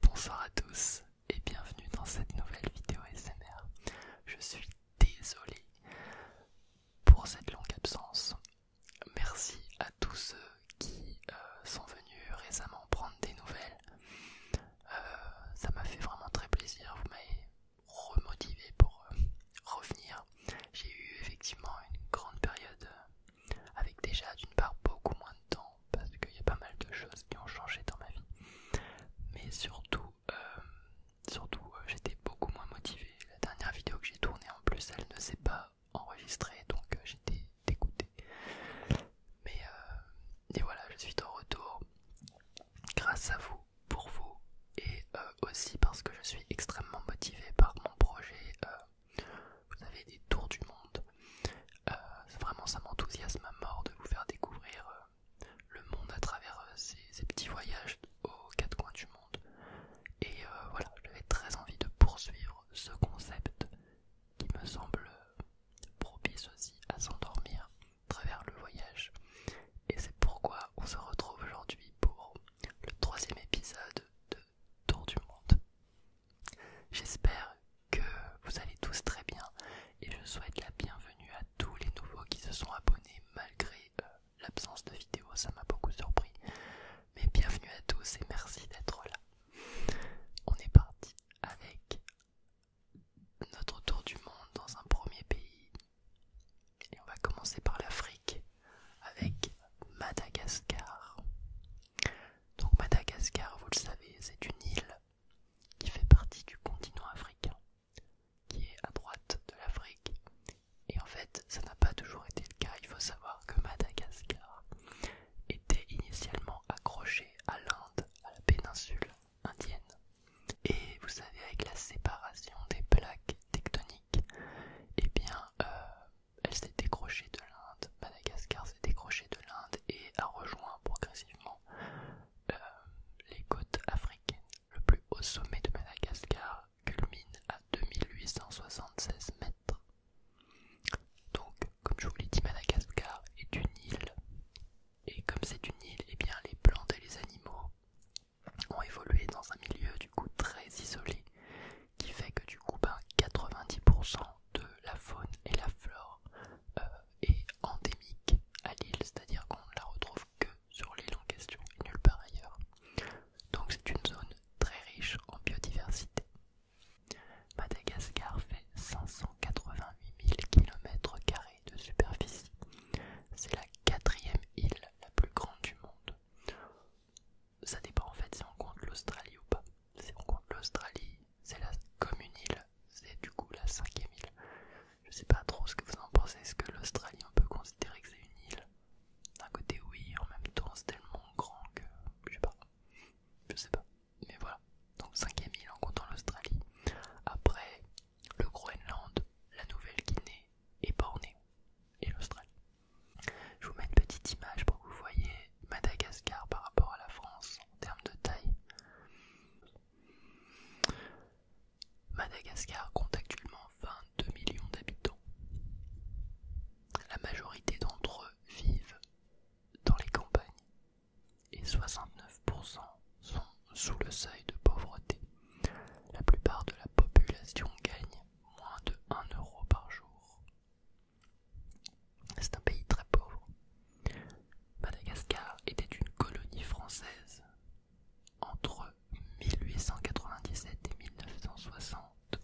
Bonsoir à tous et bienvenue dans cette nouvelle vidéo SMR. Je suis désolé pour cette longue absence. Merci à tous ceux qui euh, sont venus récemment prendre des nouvelles. Euh, ça m'a fait vraiment très plaisir. Vous m'avez remotivé pour euh, revenir. J'ai eu effectivement une grande période avec déjà d'une part beaucoup moins de temps parce qu'il y a pas mal de choses qui ont changé dans ma vie, mais surtout, euh, surtout euh, j'étais beaucoup moins motivée. La dernière vidéo que j'ai tournée en plus, elle ne s'est pas enregistrée, donc euh, j'étais dégoûté. Mais voilà, je suis de retour grâce à vous, pour vous, et aussi parce que je suis extrêmement motivée par mon projet. Vous avez des tours du monde. c'est euh, vraiment, ça m'enthousiasme à mort de vous faire découvrir euh, le monde à travers euh, ces, petits voyages aux quatre coins du monde. Et voilà, j'avais très envie de poursuivre ce concept qui me semble propice aussi à s'endormir à travers le voyage. Et c'est pourquoi on se retrouve aujourd'hui pour le troisième épisode de Tour du Monde. J'espère que vous allez tous très bien et je souhaite la bienvenue à tous les nouveaux qui se sont abonnés malgré euh, l'absence de vidéo, ça m'a beaucoup surpris. Mais bienvenue à tous et merci d'être là. On est parti avec notre tour du monde dans un premier pays. Et on va commencer par l'Afrique avec Madagascar. Donc Madagascar, vous le savez, c'est une île qui fait partie du continent africain, qui est à droite de l'Afrique. Et en fait, ça n'a pas toujours été le cas. Il faut savoir que Madagascar était initialement accrochée à l'Inde, à la péninsule indienne. Et vous savez, avec la séparation des plaques tectoniques, eh bien, euh, elle s'est décrochée de l'Inde. Madagascar s'est décrochée de l'Inde et a rejoint progressivement euh, les côtes africaines. Le plus haut sommet de Madagascar culmine à 2876 mètres. Donc, comme je vous l'ai dit, Madagascar est une île. Et comme c'est une île, eh bien, les plantes et les animaux ont évolué dans un milieu du coup très isolé, qui fait que du coup, 90% ben, de la faune et la flore euh, est endémique à l'île, c'est-à-dire qu'on ne la retrouve que sur l'île en question et nulle part ailleurs. Donc c'est une zone très riche en biodiversité. Madagascar fait 588 000 km de superficie. C'est la quatrième île la plus grande du monde. Ça dépend en fait si on compte l'Australie ou pas l'Australie, c'est la, comme une île, c'est du coup la cinquième île. Je sais pas trop ce que vous en pensez, est-ce que l'Australie on peut considérer que c'est une île D'un côté oui, en même temps c'est tellement grand que je sais pas, je sais pas. Mais voilà, donc cinquième île en comptant l'Australie. Après, le Groenland, la Nouvelle-Guinée et Bornéo et l'Australie. Je vous mets une petite image pour que vous voyez Madagascar par rapport à la France en termes de taille. Madagascar compte actuellement 22 millions d'habitants. La majorité d'entre eux vivent dans les campagnes et 69% sont sous le seuil de pauvreté. La plupart de la population gagne moins de 1 euro par jour. C'est un pays très pauvre. Madagascar était une colonie française entre 1897 et 1960,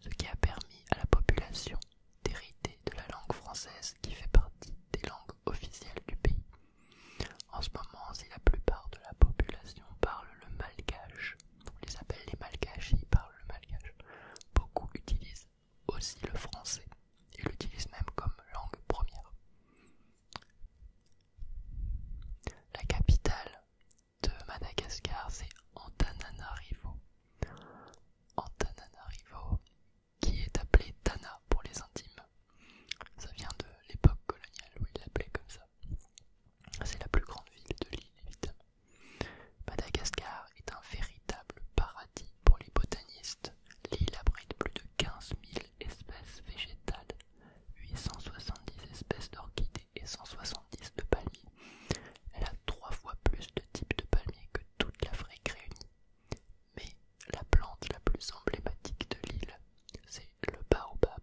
ce qui a permis à la population d'hériter de la langue française qui fait partie des langues officielles du pays. En ce moment, si la plupart de la population parle le malgache, on les appelle les malgaches, ils parlent le malgache, beaucoup utilisent aussi le français et l'utilise même comme langue première. La capitale de Madagascar, c'est Antananarivo. Antananarivo, qui est appelé Tana pour les intimes. Ça vient de l'époque coloniale où il l'appelait comme ça. C'est la plus grande ville de l'île, évidemment. Madagascar est un véritable paradis pour les botanistes, l'île abrite plus de 15 000 espèces végétales, 870 espèces d'orchidées et 170 de palmiers. Elle a trois fois plus de types de palmiers que toute l'Afrique réunie. Mais la plante la plus emblématique de l'île, c'est le baobab.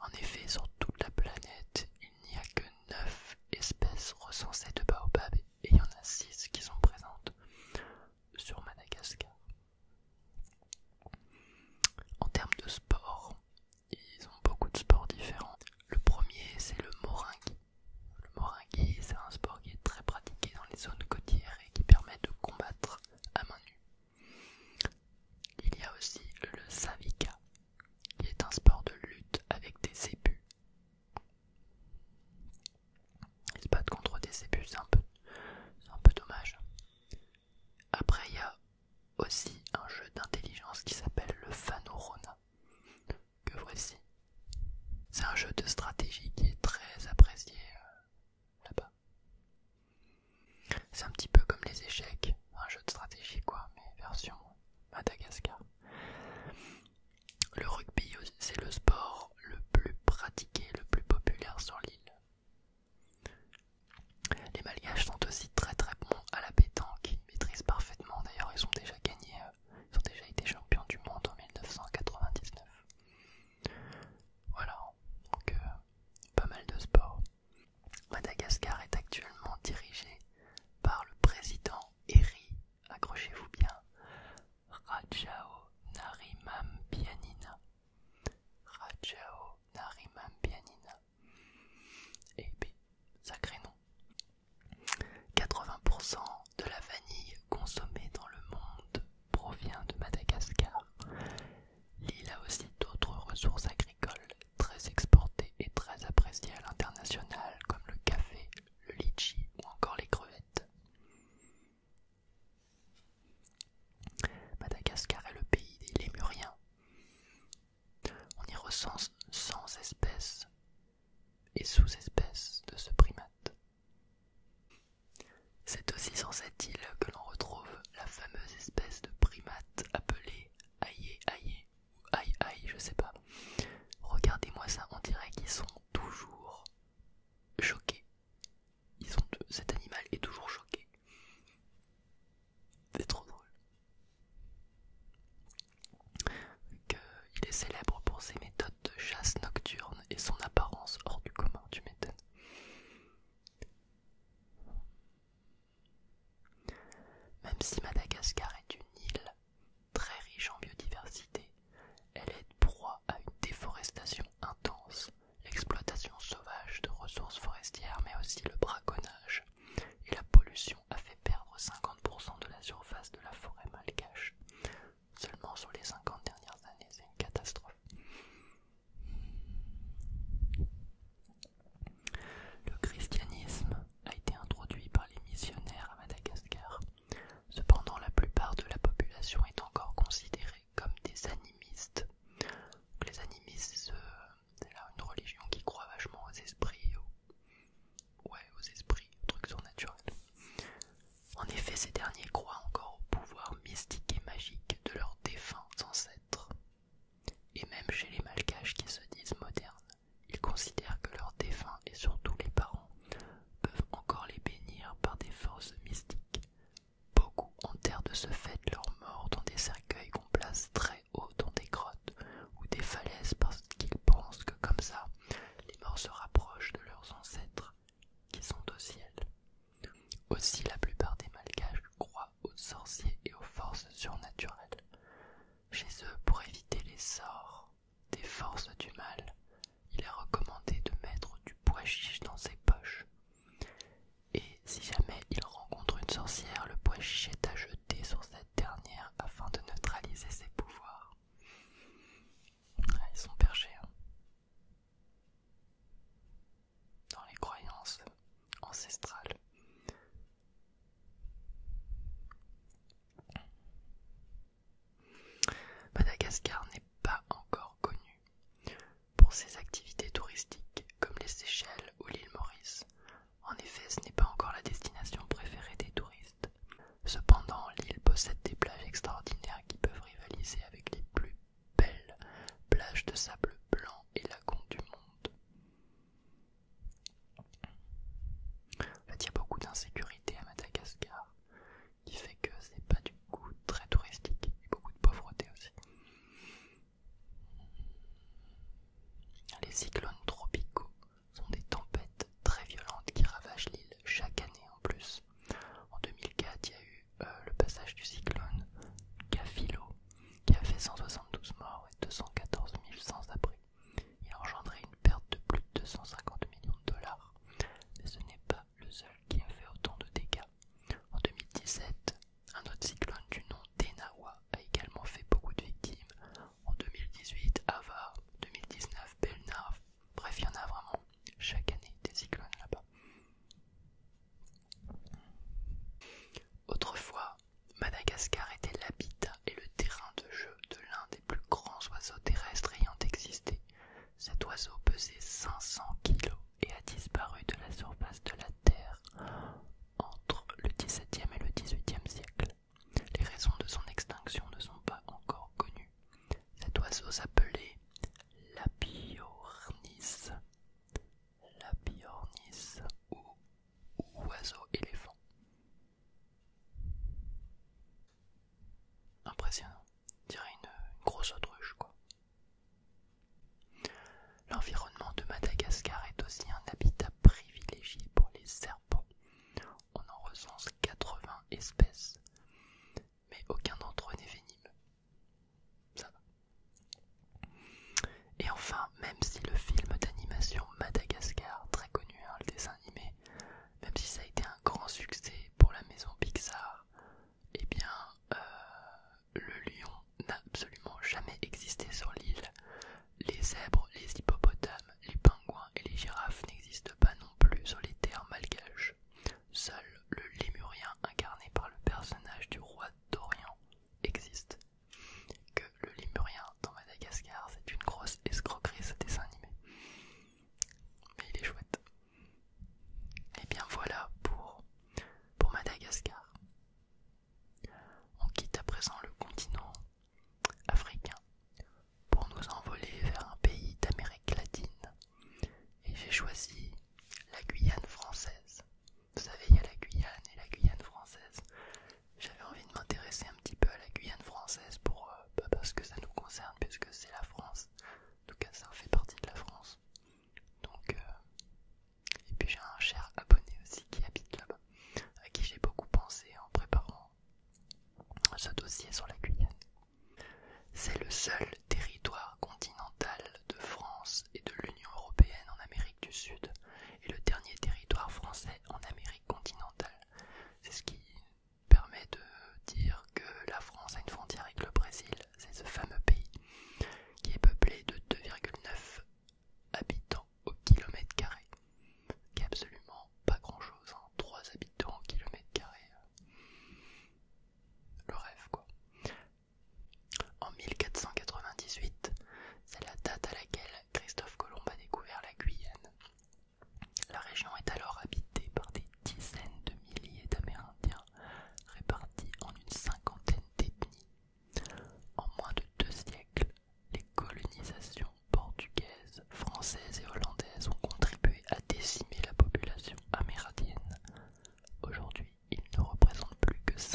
En effet, sur toute la planète, il n'y a que 9 espèces recensées de baobab et il y en a 6 qui sont présentes sur Madagascar. En termes de sport, ils ont beaucoup de sports différents. Le premier, c'est le moringi. Le moringi, c'est un sport qui est très pratiqué dans les zones côtières et qui permet de combattre à main nue. Il y a aussi le savika, qui est un sport de lutte avec des ébus. Ils se battent contre des peu, c'est un, peu dommage. Après, il y a aussi un jeu d'intelligence qui s'appelle le Fanorona, que voici. C'est un jeu de stratégie qui est très apprécié euh, là-bas. C'est un petit peu comme les échecs, un jeu de stratégie quoi, mais version Madagascar. Le rugby, c'est le sport le plus pratiqué, le plus populaire sur l'île. Les Malgaches sont aussi très très bons à la pétanque, ils maîtrisent parfaitement. D'ailleurs, ils ont déjà gagné, euh, ils ont déjà été champions du monde en 1999. Voilà, donc euh, pas mal de sports. Madagascar est actuellement dirigé par le président Eri accrochez-vous bien, Rajao Rajao narimambianina. Et sacré nom. 80% de la vanille consommée dans le monde provient de Madagascar. L'île a aussi d'autres ressources agricoles très exportées et très appréciées à l'international comme le café, le litchi ou encore les crevettes. Madagascar est le pays des lémuriens. On y recense 100 espèces et sous-espèces de ce primate. C'est aussi sur cette île que l'on retrouve la fameuse espèce de primate appelée aïe aïe aïe aïe, je sais pas. Regardez-moi ça, on dirait qu'ils sont toujours choqués. Ils sont, cet animal est toujours choqué. C'est trop drôle. Qu'il il est célèbre pour ses méthodes de chasse nocturne et son apparence hors du commun, tu m'étonnes. Même si Madagascar est une île, très riche en biodiversité, elle est proie à une déforestation intense, l'exploitation sauvage de ressources forestières mais aussi le braconnage. Et la pollution a fait perdre 50% de la surface de la forêt malgache. Seulement sur les 50 dernières années, c'est une catastrophe. Le christianisme a été introduit par les missionnaires à Madagascar Cependant, la plupart de la population est encore considérée comme des animistes. les animistes, euh, c'est là une religion qui croit vachement aux esprits, aux... ouais, aux esprits, trucs surnaturels. En effet, ces derniers croient encore au pouvoir mystique et magique de leurs défunts ancêtres, et même chez les malgaches qui se disent modernes. Ils considèrent que leurs défunts et surtout les parents peuvent encore les bénir par des forces mystiques. Beaucoup enterrent de ce fait leurs morts dans des cercueils qu'on place très haut dans des grottes ou des falaises parce qu'ils pensent que comme ça, les morts se rapprochent de leurs ancêtres qui sont au ciel. Aussi la plupart des malgaches croient aux sorciers et aux forces surnaturelles. Chez eux, pour éviter les sorts, des forces du mal, il est recommandé de mettre du bois chiche dans ses poches. Et si jamais il rencontre une sorcière, le bois chiche est à jeter sur cette dernière afin de neutraliser ses pouvoirs. ils sont perchés. Hein. Dans les croyances ancestrales. Madagascar n'est pas encore connu pour ses activités touristiques comme les Seychelles ou l'île Maurice. En effet, ce n'est pas encore la destination préférée des touristes. Cependant, l'île possède des plages extraordinaires qui peuvent rivaliser avec les plus belles plages de sable blanc et lagons du monde. il y a beaucoup d'insécurité à Madagascar qui fait que ce n'est pas du coup très touristique et beaucoup de pauvreté aussi. Les cyclones tropicaux sont des tempêtes très violentes qui ravagent l'île chaque année en plus. En 2004, il y a eu euh, le passage du cyclone Gafilo qui a fait 172 morts et 214 000 sans abri. Il a engendré une perte de plus de 250 millions de dollars. Mais ce n'est pas le seul qui a fait autant de dégâts. En 2017, un autre cyclone du nom d'Enawa a également fait beaucoup de victimes. En 2018, Ava, 2019, Belna. Bref, il y en a vraiment chaque année des cyclones là-bas. Autrefois, Madagascar était l'habitat et le terrain de jeu de l'un des plus grands oiseaux terrestres ayant existé. Cet oiseau pesait 500 kilos et a disparu de la surface de la Terre entre le XVIIe et le XVIIIe siècle. Les raisons de son extinction ne sont pas encore connues. Cet oiseau s'appelait l'apiornis, Labiornis ou oiseau éléphant. Impressionnant, dirait une, grosse autruche quoi. L'environnement de Madagascar est aussi un habitat privilégié pour les serpents. On en recense 80 espèces, mais aucun d'entre eux n'est venimeux. Ça Et enfin, même si le film d'animation Madagascar, très connu, hein, le dessin animé, même si ça a été un grand succès pour la maison Pixar, eh bien euh, le lion n'a absolument jamais existé sur l'île. Les zèbres, les hippopotames, les pingouins et les girafes n'existent pas non plus sur les terres malgaches. Seul le lémurien incarné par le personnage du roi d'Orient existe. Que le lémurien dans Madagascar, c'est une grosse escroquerie ce dessin animé mais il est chouette. Et eh bien voilà pour, Madagascar. On quitte à présent le continent africain pour nous envoler vers un pays d'Amérique latine. Et j'ai choisi la Guyane française. Vous savez, il y a la Guyane et la Guyane française. J'avais envie de m'intéresser un petit peu à la Guyane française pour euh, parce que ça nous concerne, puisque c'est la France. En tout cas, ça fait partie de la France. Donc, euh, et puis j'ai un cher abonné aussi qui habite là-bas, à qui j'ai beaucoup pensé en préparant ce dossier sur la Guyane. C'est le seul territoire continental de France et de l'Union européenne en Amérique du Sud, et le dernier territoire français en Amérique continentale. C'est ce qui permet de dire que la France a une frontière avec le Brésil, c'est ce fameux pays qui est peuplé de 2,9 habitants au kilomètre carré, qui est absolument pas grand chose, hein. 3 habitants au kilomètre carré, euh, le rêve quoi. En 1498, c'est la date à laquelle Christophe Colomb a découvert la Guyane, la région est alors habitée par des dizaines de milliers d'Amérindiens répartis en une cinquantaine d'ethnies. En moins de deux siècles, les colonisations portugaises, françaises et hollandaises ont contribué à décimer la population amérindienne. Aujourd'hui, ils ne représentent plus que 5%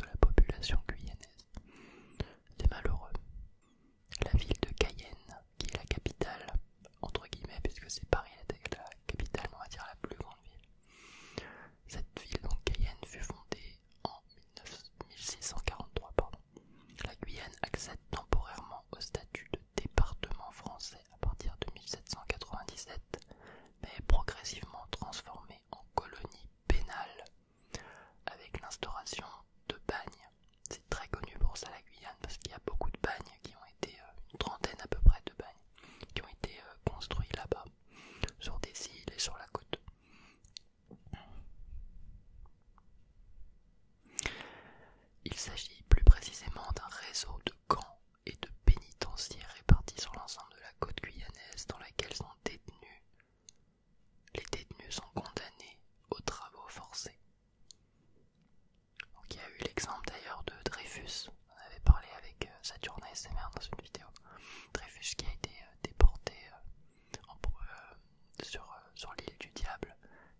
de la population guyanaise. C'est malheureux, la ville de Cayenne, qui est la capitale, entre guillemets, puisque c'est Paris la capitale, on va dire la plus grande ville. Cette ville, donc Cayenne, fut fondée en 1643. La Guyane accède temporairement au statut de département français à partir de 1797, mais est progressivement transformée en colonie pénale avec l'instauration de bagnes. C'est très connu pour ça la Guyane parce qu'il y a beaucoup de bagnes qui ont été, euh, une trentaine à peu près de bagnes, qui ont été euh, construits là-bas, sur des îles et sur la côte. Il s'agit plus précisément d'un réseau de camps et de pénitenciers répartis sur l'ensemble de la côte guyanaise dans laquelle sont détenus. Les détenus sont condamnés aux travaux forcés il y a eu l'exemple d'ailleurs de Dreyfus, on avait parlé avec euh, Saturne et SMR dans une vidéo. Dreyfus qui a été euh, déporté euh, sur, l'île du Diable,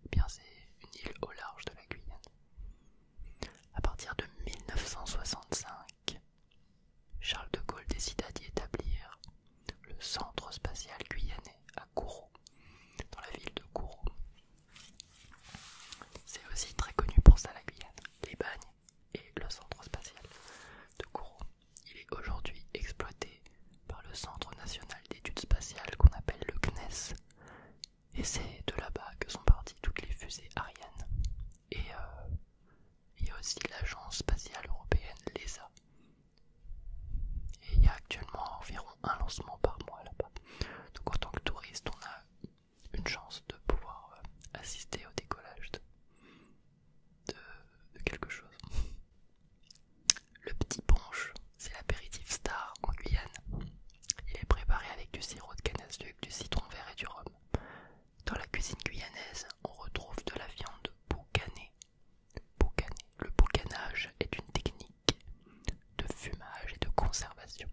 eh bien c'est une île au large de la Guyane. À partir de 1965, Charles de Gaulle décida d'y établir le centre spatial guyanais dans la ville de Kourou. C'est aussi très connu pour sa la les bagnes et le centre spatial de Kourou. Il est aujourd'hui exploité par le Centre national d'études spatiales qu'on appelle le CNES. Et c'est de là-bas que sont parties toutes les fusées Ariane. Et euh, il y a aussi l'agence spatiale européenne, l'ESA, il y a actuellement environ un lancement par mois là-bas. Donc en tant que touriste, on a une chance de pouvoir euh, assister au décollage de, quelque chose. Le petit ponche, c'est l'apéritif star en Guyane. Il est préparé avec du sirop de canne à du citron vert et du rhum. Dans la cuisine guyanaise, on retrouve de la viande boucanée, le boucanage est une technique de fumage et de conservation.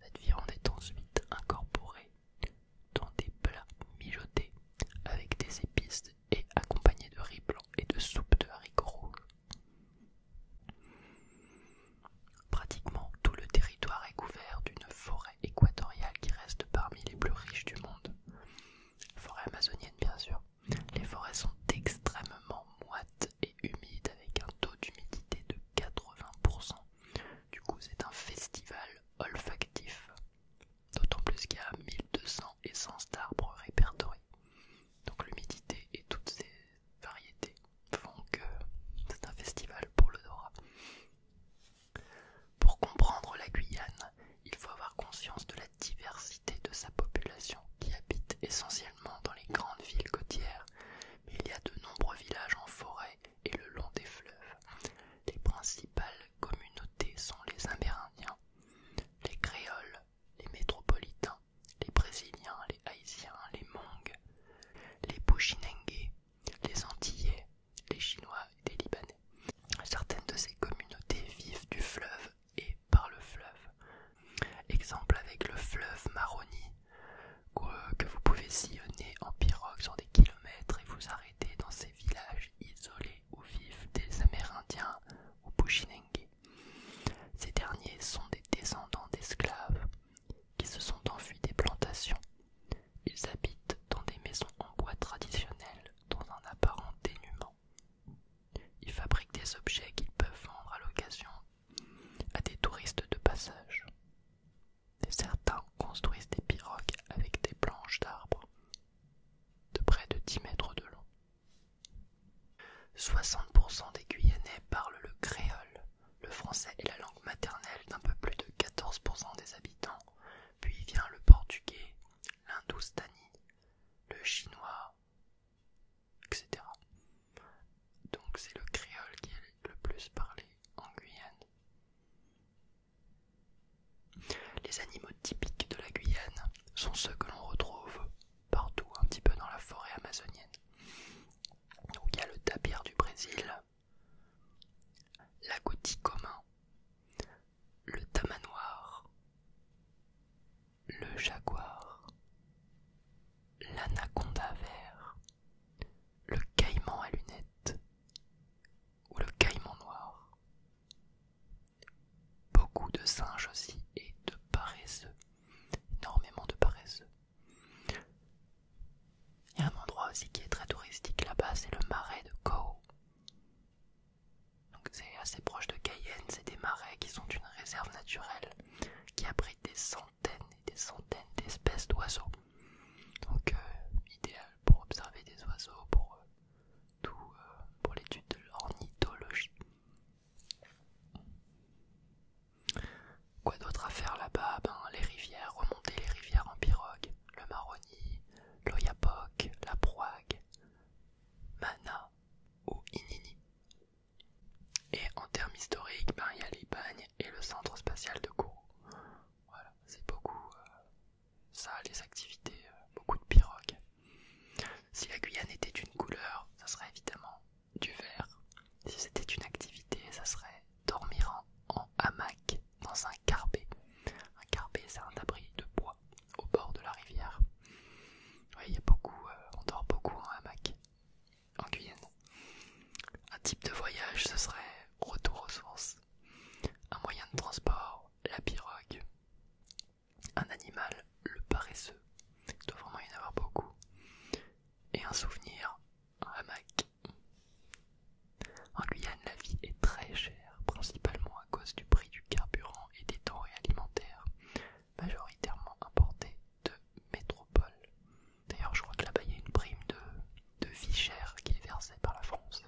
Cette viande est ensuite incorporée dans des plats mijotés avec des épices et accompagnée de riz blanc et de soupe de haricots rouges. Pratiquement tout le territoire est couvert d'une forêt équatoriale qui reste parmi les plus riches du monde. Forêt amazonienne bien sûr, les forêts sont extrêmement moites et humides avec un taux d'humidité de 80%. Du coup, c'est un festival olfactif. D'autant plus qu'il y a 1200 essences d'arbres répertoriées. Donc l'humidité et toutes ces variétés font que c'est un festival pour l'odorat. Pour comprendre la Guyane, il faut avoir conscience de la diversité de sa population qui habite essentiellement dans les grandes villes côtières, mais il y a de nombreux villages en forêt et le long des fleuves. Les principales communautés sont les Amérindiens, les Créoles, les Métropolitains, les Brésiliens, les Haïtiens, les Mongs, les Pushinengues, les Antillais, les Chinois et les Libanais. Certaines de ces communautés vivent du fleuve et par le fleuve. Exemple avec le fleuve Maroni, que vous pouvez sillonner en pirogue sur des kilomètres et vous arrêter dans ces villages isolés où vivent des Amérindiens ou Bushinengue. Ces derniers sont des descendants d'esclaves qui se sont enfuis des plantations. Ils habitent dans des maisons en bois traditionnelles dans un apparent dénuement. Ils fabriquent des objets qu'ils peuvent vendre à l'occasion à des touristes de passage. Certains construisent des pirogues avec des planches d'arbres de près de 10 mètres de long. 60% des Guyanais parlent le créole. Le français est la langue maternelle d'un peu plus de 14% des habitants, puis vient le portugais, l'hindoustanie, le chinois, etc. Donc c'est le créole qui est le plus parlé en Guyane. Les animaux typiques de la Guyane sont ceux que l'on retrouve partout, un petit peu dans la forêt amazonienne. Donc il y a le tapir du Brésil, l'agouti commun, le tamanoir, le jaguar, l'anaconda vert, le caïman à lunettes ou le caïman noir. Beaucoup de singes aussi et de paresseux, énormément de paresseux. Il y a un endroit aussi qui est très touristique là-bas, c'est le marais de Kau. Donc c'est assez proche de Cayenne, c'est des marais qui sont une réserve naturelle qui abrite des centaines et des centaines d'espèces d'oiseaux. Donc euh, idéal pour observer des oiseaux, pour euh, tout, euh, pour l'étude de l'ornithologie. Quoi d'autre à faire là-bas ben, les rivières, remonter les rivières en pirogue, le Maroni, l'Oyapoc, la Proague, Mana ou Inini. Et en termes historiques, ben, il y a les et le centre spatial de Kourou. Voilà, c'est beaucoup euh, ça, les activités, euh, beaucoup de pirogues. Si la Guyane était d'une couleur, ça serait évidemment du vert. Si c'était une activité, ça serait dormir en, hamac dans un carbet. Un carbet, c'est un abri de bois au bord de la rivière. Euh, on dort beaucoup en hamac en Guyane. Un type de voyage, ce serait retour aux sources. Un moyen de transport, la pirogue. Un animal, le paresseux. Il doit vraiment y en avoir beaucoup. Et un souvenir, un hamac. En Guyane, la vie est très chère, principalement à cause du prix du carburant et des denrées alimentaires majoritairement importés de métropole. D'ailleurs, je crois que là-bas il y a une prime de, de vie chère qui est versée par la France.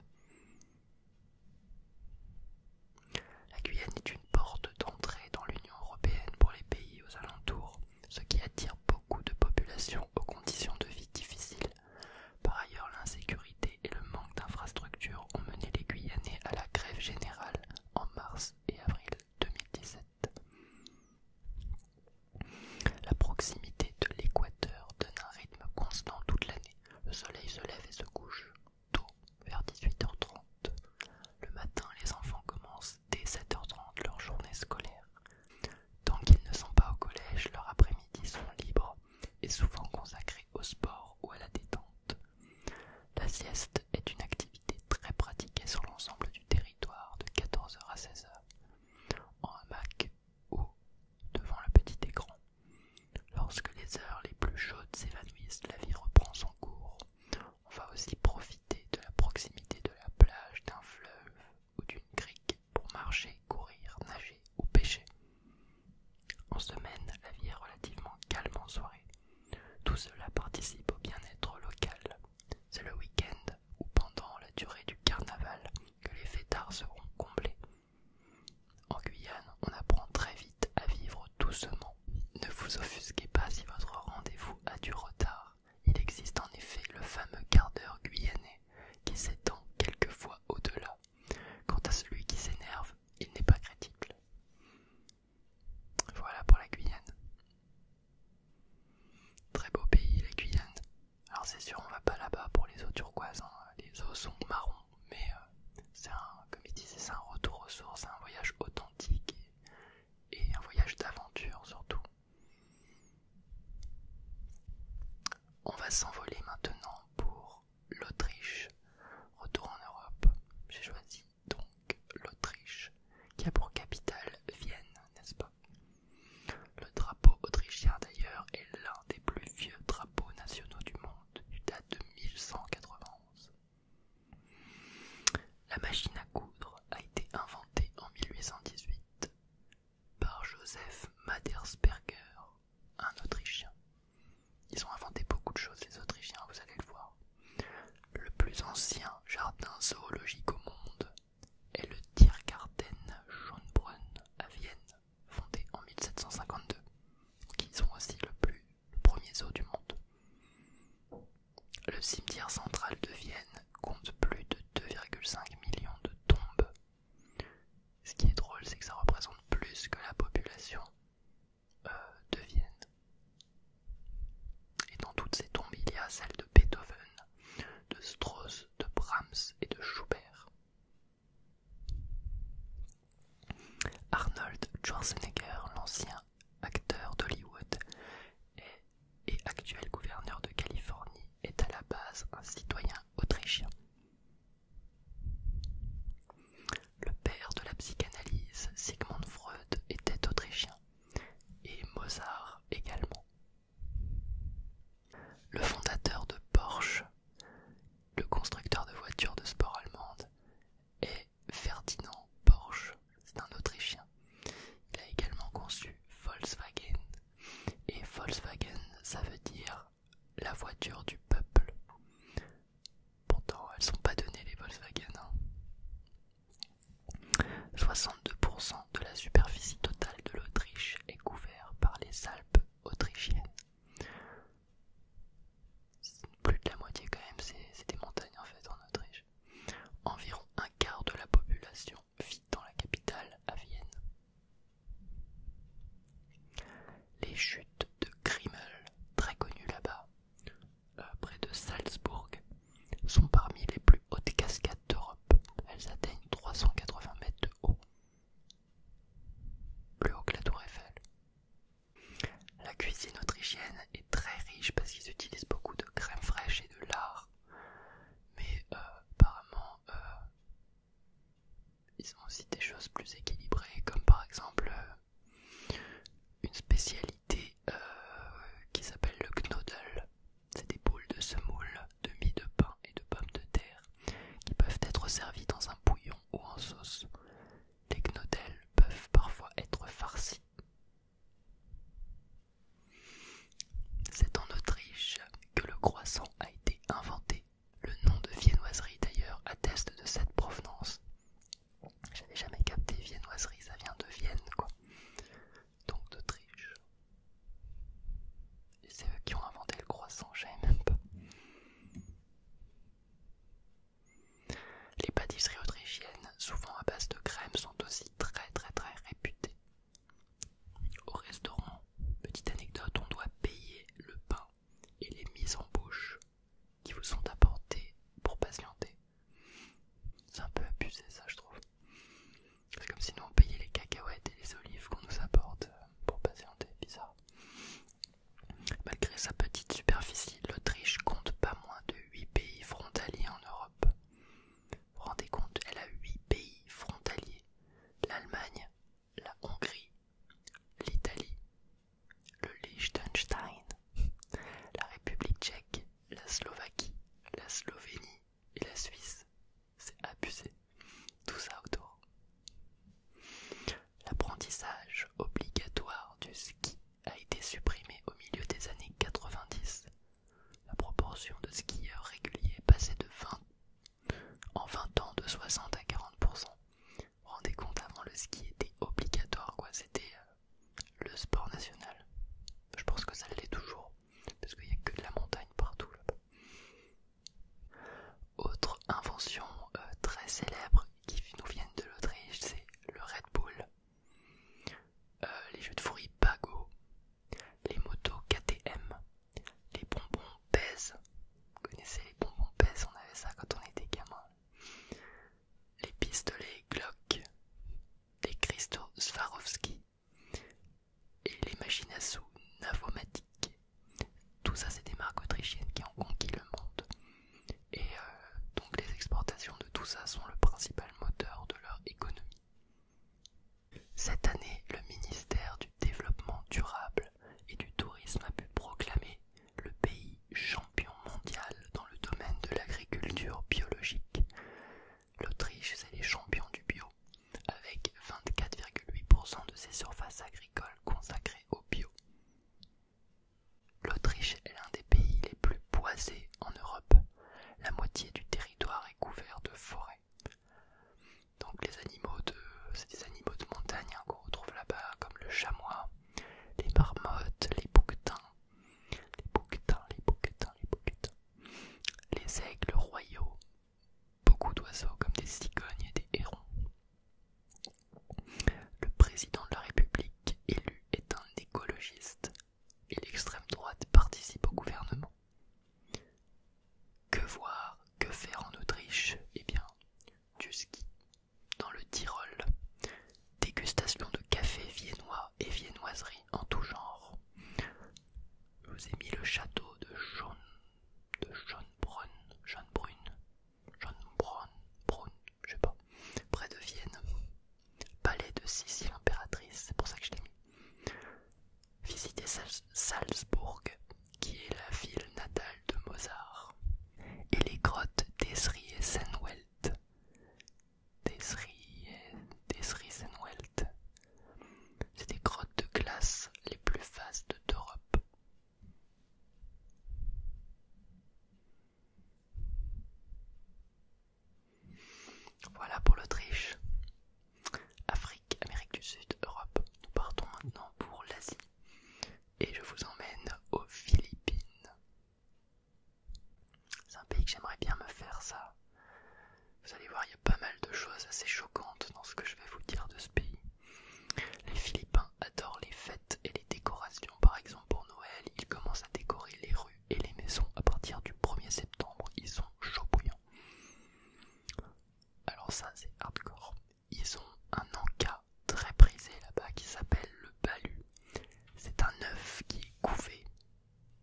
La Guyane est une porte d'entrée dans l'Union européenne pour les pays aux alentours, ce qui attire beaucoup de populations aux conditions de vie difficiles. Par ailleurs, l'insécurité et le manque d'infrastructures ont mené les Guyanais à la grève générale en mars et avril. 2017. La proximité de l'équateur donne un rythme constant toute l'année. Le soleil se lève et se couche tôt, vers 18h30. Le matin, les enfants commencent dès 7h30 leur journée scolaire. Tant qu'ils ne sont pas au collège, leur après-midi sont libres et souvent consacrés au sport ou à la détente. La sieste est une activité très pratiquée sur l'ensemble du territoire de 14h à 16h, en hamac ou devant le petit écran. Lorsque les heures les plus chaudes s'évanouissent, la vie reprend son cours. On va aussi profiter de la proximité de la plage, d'un fleuve ou d'une crique pour marcher, courir, nager ou pêcher. En semaine, la vie est relativement calme en soirée. Tout cela participe au bien-être local. C'est le week-end ou pendant la durée du carnaval que les fêtards seront comblés. En Guyane, on apprend très vite à vivre doucement. Ne vous offusquez pas si votre rendez-vous a du retard. Il existe en effet le fameux quart d'heure guyanais qui s'étend quelquefois au-delà. Quant à celui qui s'énerve, il n'est pas crédible. Voilà pour la Guyane. Très beau pays, la Guyane. Alors c'est sûr, on va pas là-bas pour les eaux turquoises. Hein. Les eaux sont marrons. mais euh, c'est un, comme ils c'est un retour aux sources, un voyage authentique et un voyage d'aventure surtout. On va s'envoler maintenant pour l'Autriche. Retour en Europe. J'ai choisi donc l'Autriche, qui a pour capitale Vienne, n'est-ce pas Le drapeau autrichien d'ailleurs est l'un des plus vieux drapeaux nationaux du monde, du date de 1191. La machine à coudre a été inventée en 1818 par Joseph Madersberger, un Autrichien. Ils ont inventé beaucoup de choses, les Autrichiens, vous allez le voir. Le plus ancien jardin zoologique au monde est le Tiergarten Schönbrunn à Vienne, fondé en 1752, qui sont aussi le, plus, premier zoo du monde. Le cimetière central de Vienne compte plus de 2,5 millions de tombes. Ce qui est drôle, c'est que ça représente plus que la population euh, de Vienne. Et dans toutes ces tombes, il y a celles de Beethoven, de Strauss, de Brahms et de Schubert. Arnold Schwarzenegger, l'ancien acteur d'Hollywood et actuel gouverneur de Californie, est à la base un citoyen autrichien. Le père de la psychanalyse, Sigmund Freud, était autrichien et Mozart également. Le fondateur de Porsche, le constructeur de voitures de sport allemande, est Ferdinand Porsche, c'est un Autrichien. Il a également conçu Volkswagen, et Volkswagen, ça veut dire la voiture du peuple. Pourtant, elles ne sont pas données les Volkswagen. Hein. 62% de la superficie totale de l'Autriche est couvert par les Alpes autrichiennes. Plus de la moitié quand même, c'est des montagnes en fait en Autriche. Environ un quart de la population vit dans la capitale, à Vienne. Les chutes de Grimmel, très connues là-bas, euh, près de Salzbourg, sont parmi les plus hautes cascades d'Europe. Elles atteignent 380 mètres de haut, plus haut que la Tour Eiffel. La cuisine autrichienne est très riche parce qu'ils utilisent beaucoup de crème fraîche et de lard. Mais euh, apparemment, euh, ils ont aussi des choses plus équilibrées, comme par exemple une spécialité euh, qui s'appelle le gnodel, C'est des boules de semoule, de mie de pain et de pommes de terre qui peuvent être servies dans un bouillon ou en sauce. Les gnodels peuvent parfois être farcis. C'est en Autriche que le croissant a été inventé. Le nom de viennoiserie d'ailleurs atteste de cette provenance. J'avais jamais capté viennoiserie, ça vient de Vienne, quoi. Donc d'Autriche. c'est eux qui ont inventé le croissant, j'aime même pas. Les pâtisseries autrichiennes, souvent à base de crème, sont aussi très très très réputées. Au restaurant, petite anecdote, on doit payer le pain et les mises en bouche qui vous sont apportées pour patienter. C'est un peu abusé ça je trouve. C'est comme si nous on payait les cacahuètes et les olives qu'on nous apporte euh, pour passer bizarre. Malgré sa petite superficie, l'Autriche compte pas moins de 8 pays frontaliers en Europe. Vous vous rendez compte, elle a 8 pays frontaliers. L'Allemagne, la Hongrie, l'Italie, le Liechtenstein, la République tchèque, la Slovaquie, la Slovénie et la Suisse. C'est abusé. Tout ça autour. L'apprentissage obligatoire du ski a été supprimé au milieu des années 90. La proportion de skieurs réguliers passait de 20 en 20 ans de 60 à 40%. Vous vous rendez compte, avant le ski était obligatoire, quoi. C'était euh, le sport national. Je pense que ça l'est toujours, parce qu'il n'y a que de la montagne partout Autre invention euh, très célèbre qui nous vient de l'Autriche, c'est le Red Bull, euh, les jeux de fruits Pago, les motos KTM, les bonbons pèse. Vous connaissez les bonbons pèse? On avait ça quand on était gamin les pistolets Glock, les cristaux Swarovski et les machines à sous Tout ça, c'est des marques autrichiennes qui ont conquis le monde. Et euh, donc, les exportations de tout ça sont le principal moteur de leur économie. Cette année, le ministère du Développement durable et du Tourisme a pu proclamer le pays champion mondial dans le domaine de l'agriculture biologique L'Autriche, c'est les champions du bio, avec 24,8% de ses surfaces agricoles consacrées au bio. L'Autriche est l'un des pays les plus boisés en Europe. La moitié du territoire est couvert de forêts. Donc les animaux de c'est animaux de montagne hein, qu'on retrouve là-bas comme le chamois, les marmottes, les bouquetins, les bouquetins, les bouquetins, les bouquetins. Les aigles royaux, beaucoup d'oiseaux comme des cigognes et des hérons. Le président de la République élu est un écologiste et l'extrême droite participe au gouvernement. Que voir, que faire en Autriche Eh bien, du ski dans le Tyrol, dégustation de café viennois et viennoiserie, en tout genre. Je vous ai mis le château de John, de Brun, John Brun, je sais pas, près de Vienne. Palais de Sicile l'impératrice, c'est pour ça que je l'ai mis. Visiter Salzbourg, qui est la ville natale de Mozart, et les grottes d'Esri et Welt. C'est des grottes de glace les plus vastes d'Europe. Voilà pour l'Autriche. Afrique, Amérique du Sud, Europe. Nous partons maintenant pour l'Asie. Et je vous emmène aux Philippines. C'est un pays que j'aimerais bien me faire ça. Vous allez voir, il y a pas mal de choses assez choquantes dans ce que je vais vous dire de ce pays. Les Philippins adorent les fêtes et les décorations. Par exemple, pour Noël, ils commencent à décorer les rues et les maisons à partir du 1er septembre. Ils sont chauds bouillants. Alors ça, c'est hardcore. Ils ont un encas très prisé là-bas qui s'appelle le balu. C'est un œuf qui est couvé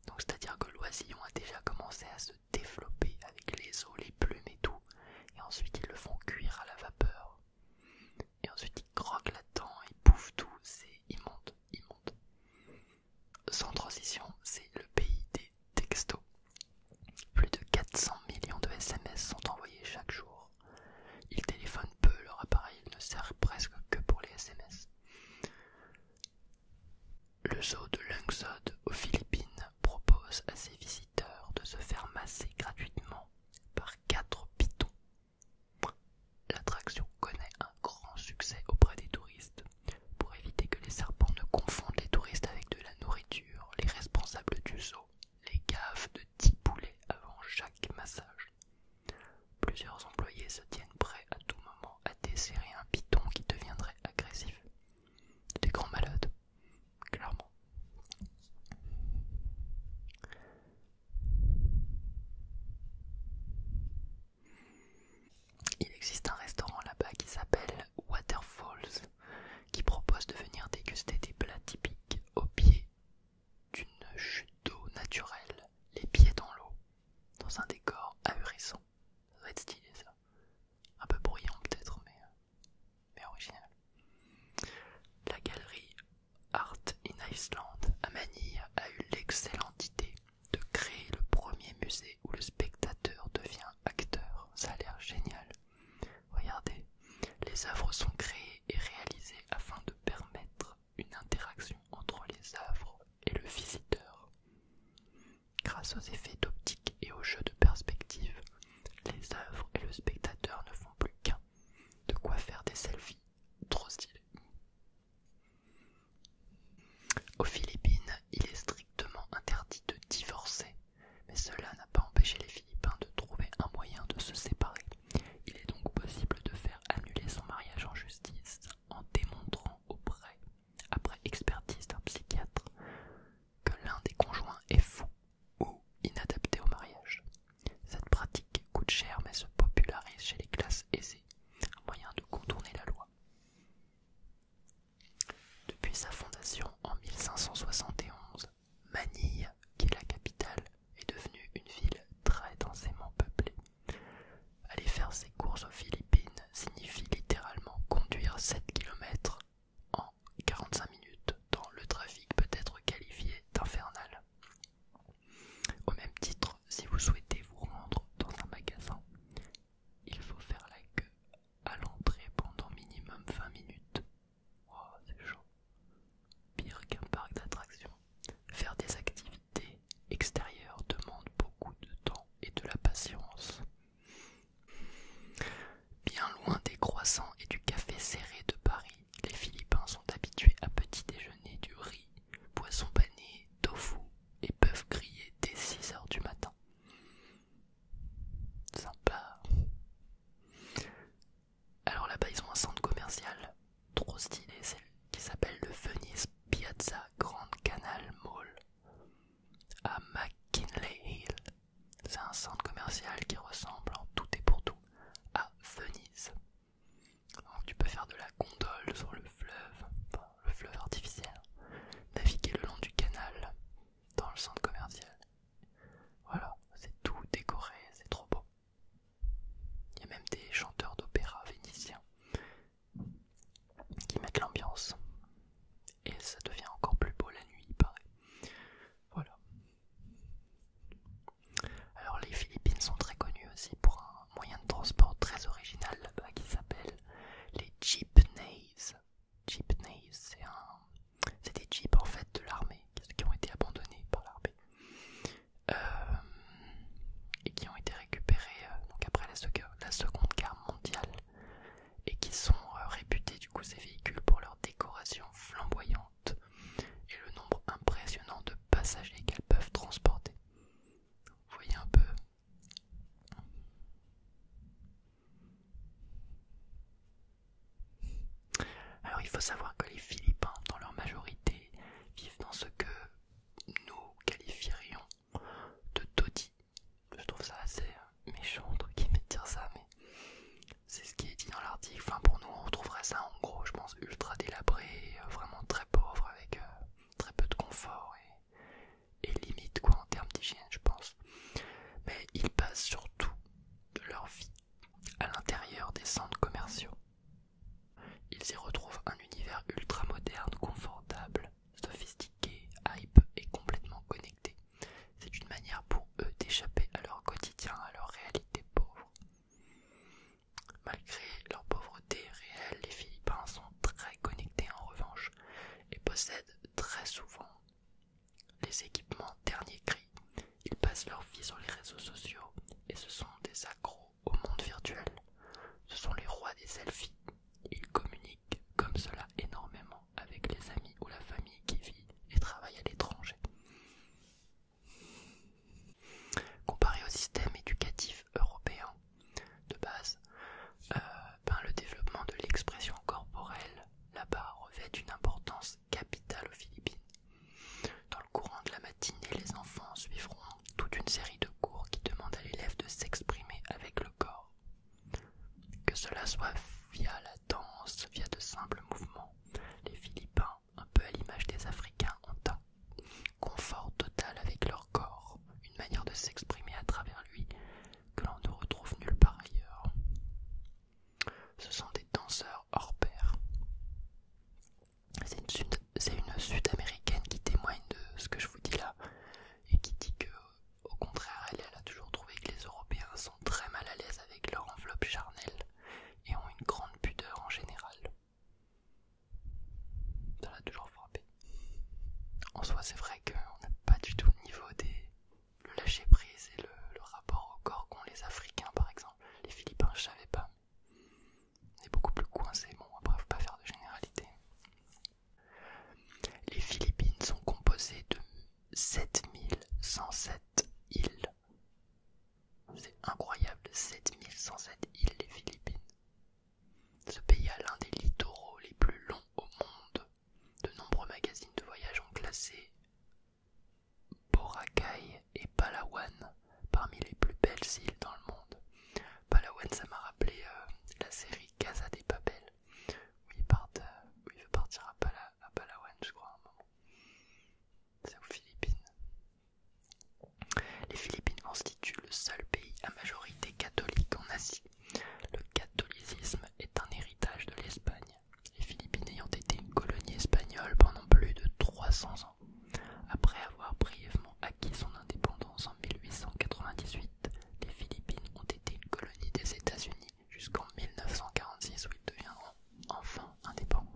donc c'est-à-dire que l'oisillon a déjà commencé à se développer avec les os, les plumes et tout, et ensuite ils le font cuire à la vapeur. Et ensuite ils croquent la dedans ils bouffent tout, c'est immonde, immonde. Sans transition, c'est le pays des textos. Plus de 400 millions de SMS sont envoyés chaque jour. Ils téléphonent peu, leur appareil ne sert presque que pour les SMS. Le zoo de Lungsod aux Philippines propose à ses visiteurs de se faire masser gratuitement par quatre pitons. L'attraction connaît un grand succès auprès des touristes. Pour éviter que les serpents ne confondent les touristes avec de la nourriture, les responsables du zoo les gavent de 10 poulets avant chaque massage. Plusieurs employés se tiennent prêts à tout moment à desserrer un piton qui deviendrait agressif. Des grands malades, clairement. Il existe un restaurant là-bas qui s'appelle Waterfalls, qui propose de venir déguster des plats typiques au pied d'une chute d'eau naturelle, les pieds dans l'eau dans un décor ahurissant. Ça doit être stylé ça. Un peu bruyant peut-être, mais, euh, mais original. La galerie Art in Iceland à Manille a eu l'excellente idée de créer le premier musée où le spectateur devient acteur. Ça a l'air génial. Regardez, les œuvres sont créées et réalisées afin de permettre une interaction entre les œuvres et le visiteur. Grâce aux effets d'optique et aux jeux de perspective, les œuvres et le spectateur ne font plus qu'un. De quoi faire des selfies trop stylés. Aux Philippines, il est strictement interdit de divorcer, mais cela n'a pas empêché les Philippins de trouver un moyen de se séparer. Il est donc possible de faire annuler son mariage en justice en démontrant auprès, après expertise d'un psychiatre, que l'un des conjoints est fou ou inadapté au mariage. Cette pratique coûte cher mais se popularise chez les classes aisées, moyen de contourner la loi. Depuis sa fondation en 1571, Manille, qui est la capitale, est devenue une ville très densément peuplée. Aller faire ses courses aux Philippines signifie littéralement conduire 7 km en 45 minutes dans le trafic peut être qualifié d'infernal. Au même titre, si vous souhaitez vous rendre dans un magasin, il faut faire la queue à l'entrée pendant minimum 20 minutes. Wow, c'est chaud. Pire qu'un parc d'attractions. Faire des activités extérieure demande beaucoup de temps et de la patience. Bien loin des croissants et du café serré de Paris, les Philippins sont habitués à petit déjeuner du riz, poisson pané, tofu et peuvent griller dès 6 heures du matin. Sympa. Alors là-bas, ils ont un centre commercial trop stylé, celle qui s'appelle le Venice Piazza Grande Canal Mall à McKinley Hill. C'est un centre commercial qui ressemble en tout et pour tout à Venise. tu peux faire de la gondole sur le fleuve, enfin, le fleuve artificiel, naviguer le long du canal dans le centre commercial. Voilà, c'est tout décoré, c'est trop beau. Il y a même des chanteurs d'opéra vénitiens qui mettent l'ambiance. Et ça devient encore plus beau la nuit, il paraît. Voilà. Alors les Philippines sont très connues aussi pour un moyen de transport très original là qui s'appelle les jeepneys. Jeepneys, c'est un... des jeeps en fait de l'armée qui ont été abandonnés par l'armée. Euh, et qui ont été récupérés euh, après la, seconde, Guerre mondiale et qui sont euh, réputés du coup ces véhicules pour leur décoration flamboyante et le nombre impressionnant de passagers qu'elles peuvent transporter. Vous voyez un peu Alors il faut savoir que les Philippins, dans leur majorité, vivent dans ce que nous qualifierions de todi Je trouve ça assez euh, méchant de dire ça, mais c'est ce qui est dit dans l'article. Enfin, pour nous, on retrouverait ça en gros, je pense, ultra délabré, euh, vraiment très pauvre, avec euh, très peu de confort et, limite quoi en termes d'hygiène, je pense. Mais ils passent surtout de leur vie à l'intérieur des centres commerciaux. Ils y retrouvent un univers ultra moderne, confortable, sophistiqués, hype et complètement connectés. C'est une manière pour eux d'échapper à leur quotidien, à leur réalité pauvre. Malgré leur pauvreté réelle, les Philippins sont très connectés en revanche et possèdent très souvent les équipements dernier cri. Ils passent leur vie sur les réseaux sociaux et ce sont des accros au monde virtuel. Ce sont les rois des selfies. Ils communiquent comme cela énormément avec les amis ou la famille qui vit et travaille à l'étranger. Comparé au système éducatif européen de base, euh, ben, le développement de l'expression corporelle là-bas revêt une importance capitale aux Philippines. Dans le courant de la matinée, les enfants suivront toute une série de cours qui demandent à l'élève de s'exprimer avec le corps. Que cela soit via la danse, via de simples mouvements, les Philippins, un peu à l'image des Africains, ont un confort total avec leur corps, une manière de s'exprimer à travers lui que l'on ne retrouve nulle part ailleurs. Ce sont des danseurs hors pair. C'est une c'est une sud-américaine qui témoigne de ce que je vous dis là et qui dit que au contraire elle, a toujours trouvé que les Européens sont très mal à l'aise avec leur enveloppe charnelle et ont une grande pudeur en général. Ça l'a toujours frappé. En soi c'est vrai qu'on n'a pas du tout le niveau des le lâcher prise et le, rapport au corps qu'ont les Africains par exemple. Les Philippins je savais pas. On est beaucoup plus coincés, bon après faut pas faire de généralité. Les Philippines sont composées de 7107 îles. C'est incroyable, 7107 îles les Philippines. Ce pays a l'un des littoraux les plus longs au monde. De nombreux magazines de voyage ont classé Boracay et Palawan parmi les plus belles îles dans le monde. Palawan, ça m'a rappelé euh, la série Casa des Papel, euh, où il, veut partir à, Palawan, je crois, à un moment. C'est aux Philippines. Les Philippines constituent le seul pays à majorité catholique en Asie. Le catholicisme est un héritage de l'Espagne, les Philippines ayant été une colonie espagnole pendant plus de 300 ans. Après avoir brièvement acquis son indépendance en 1898, les Philippines ont été une colonie des États-Unis jusqu'en 1946 où ils deviendront enfin indépendants.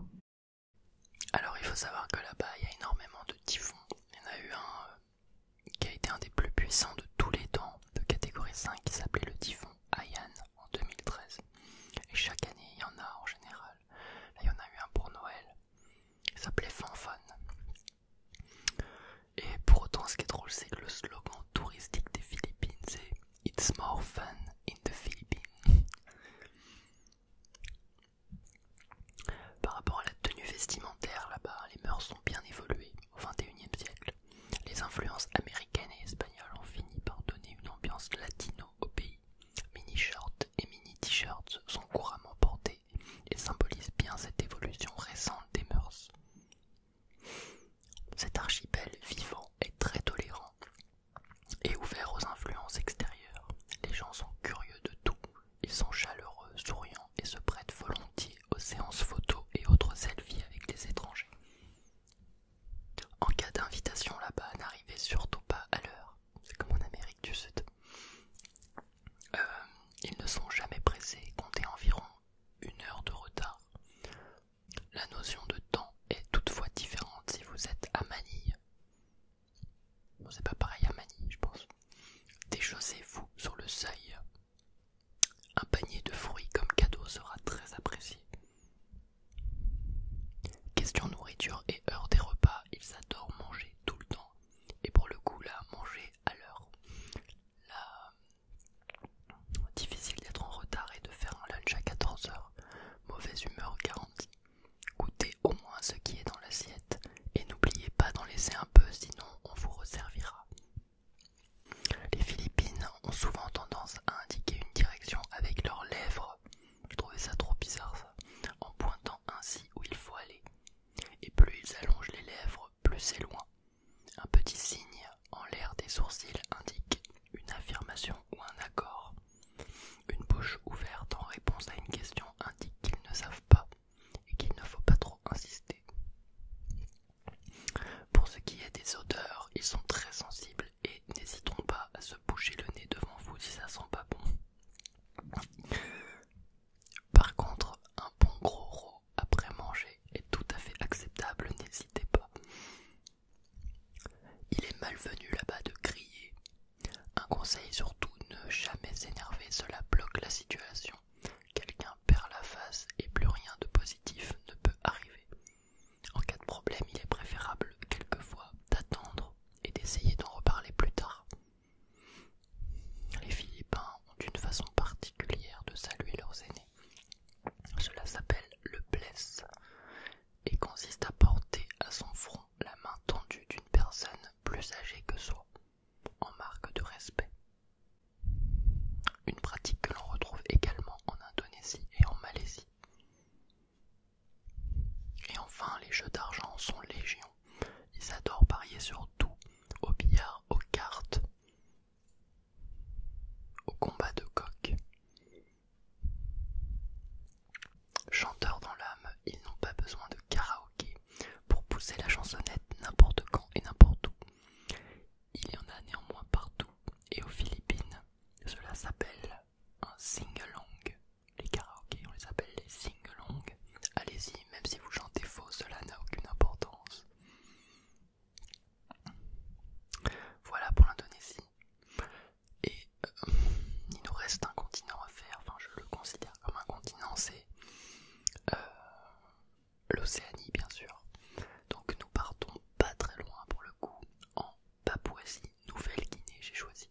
Alors il faut savoir que là-bas il y a énormément de typhons. Il y en a eu un euh, qui a été un des plus puissants de tous les temps, de catégorie 5, qui s'appelait le typhon Haiyan en 2013. Et chaque année il y en a en général. il y en a eu un pour Noël. qui s'appelait Fanfan. Et pour autant, ce qui est drôle, c'est que le slogan touristique des Philippines, c'est It's more fun in the Philippines. Par rapport à la tenue vestimentaire là-bas, les mœurs sont bien évoluées au XXIe siècle. Les influences américaines et espagnoles ont fini par donner une ambiance latino au pays. Mini-shorts et mini-t-shirts sont couramment portés et symbolise bien cette évolution récente des mœurs. Cet archipel vivant est très tolérant et ouvert aux influences extérieures. Les gens sont curieux de tout, ils sont chaleureux, souriants et se prêtent volontiers aux séances photo et autres selfies avec les étrangers. En cas d'invitation là-bas, n'arrivez surtout pas à l'heure, c'est comme en Amérique du Sud. Euh, ils ne sont jamais pressés Comptez environ une heure de retard. La notion de temps est toutefois différente si vous êtes à Manille. c'est pas pareil à Manille, je pense. Déchaussez-vous sur le seuil. Un panier de fruits comme cadeau sera très apprécié. Question nourriture et heure des repas, ils adorent manger tout le temps. Et pour le coup, là, manger l'heure. Difficile d'être en retard et de faire un lunch à 14h. Mauvaise humeur garantie. Goûtez au moins ce qui est dans l'assiette et n'oubliez pas d'en laisser un peu sinon on vous resservira. Les Philippines ont souvent tendance à indiquer une direction avec leurs lèvres. Je trouvais ça trop bizarre ça. En pointant ainsi où il faut aller. Et plus ils allongent les lèvres, plus c'est loin. Un petit signe en l'air des sourcils indique une affirmation ou un accord. Une bouche ouverte en réponse à une question indique qu'ils ne savent pas et qu'il ne faut pas trop insister. Pour ce qui est des odeurs, ils sont très sensibles et n'hésitons pas à se boucher le nez devant vous si ça sent pas bon. Par contre, un bon gros rot après manger est tout à fait acceptable, n'hésitez pas. Il est malvenu là-bas de crier. Un conseil surtout, ne jamais s'énerver, cela bloque la situation. Quelqu'un perd la face et plus rien de positif ne peut arriver. En cas de problème, il est préférable quelquefois d'attendre et d'essayer d'en reparler plus tard. Les Philippins ont une façon particulière de saluer leurs aînés. Cela s'appelle le blesse et consiste à porter à son front la main tendue d'une personne plus âgée que soi, en marque de respect. Une pratique que l'on retrouve également en Indonésie et en Malaisie. Et enfin, les jeux d'argent sont légion ils adorent parier sur tout, au billard, aux cartes, aux combats de coq. Chanteurs dans l'âme, ils n'ont pas besoin de karaoké pour pousser la chansonnette n'importe quand et n'importe où. Il y en a néanmoins partout et aux Philippines, cela s'appelle un sing-along. Les karaokés, on les appelle les sing Allez-y, même si vous chantez faux, cela n'a aucune importance. Voilà pour l'Indonésie. Et euh, il nous reste un continent à faire, enfin je le considère comme un continent, c'est euh, l'Océanie bien sûr. Donc nous partons pas très loin pour le coup, en Papouasie, Nouvelle-Guinée j'ai choisi.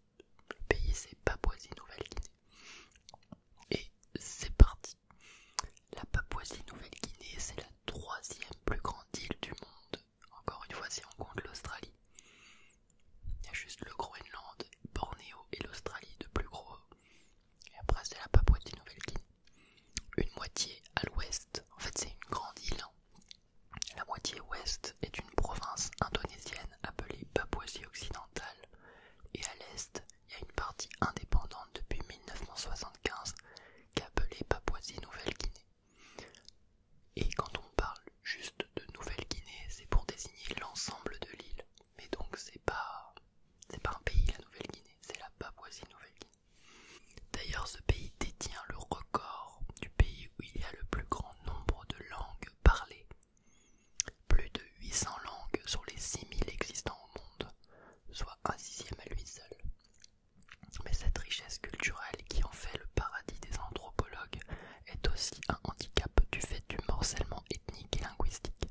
Le pays c'est Papouasie, Nouvelle-Guinée. Et c'est parti. La Papouasie-Nouvelle-Guinée, c'est la troisième plus grande île du monde. Encore une fois, si on compte l'Australie. Il y a juste le Groenland, Bornéo et l'Australie de plus gros. Et après, c'est la Papouasie-Nouvelle-Guinée. Une moitié à l'ouest. En fait, c'est une grande île. Hein. La moitié ouest est une province indonésienne appelée Papouasie-Occidentale. Et à l'est, il y a une partie indépendante depuis 1975 qu'appelait Papouasie-Nouvelle-Guinée. Et quand on parle juste de Nouvelle-Guinée, c'est pour désigner l'ensemble de l'île. Mais donc c'est pas c'est pas un pays la Nouvelle-Guinée, c'est la Papouasie-Nouvelle-Guinée. D'ailleurs, ce pays détient le record du pays où il y a le plus grand nombre de langues parlées. Plus de 800 langues sur les 6000 existants au monde, soit un sixième à lui seul. Mais cette richesse culturelle qui en fait le paradis des anthropologues est aussi un handicap du fait du morcellement ethnique et linguistique.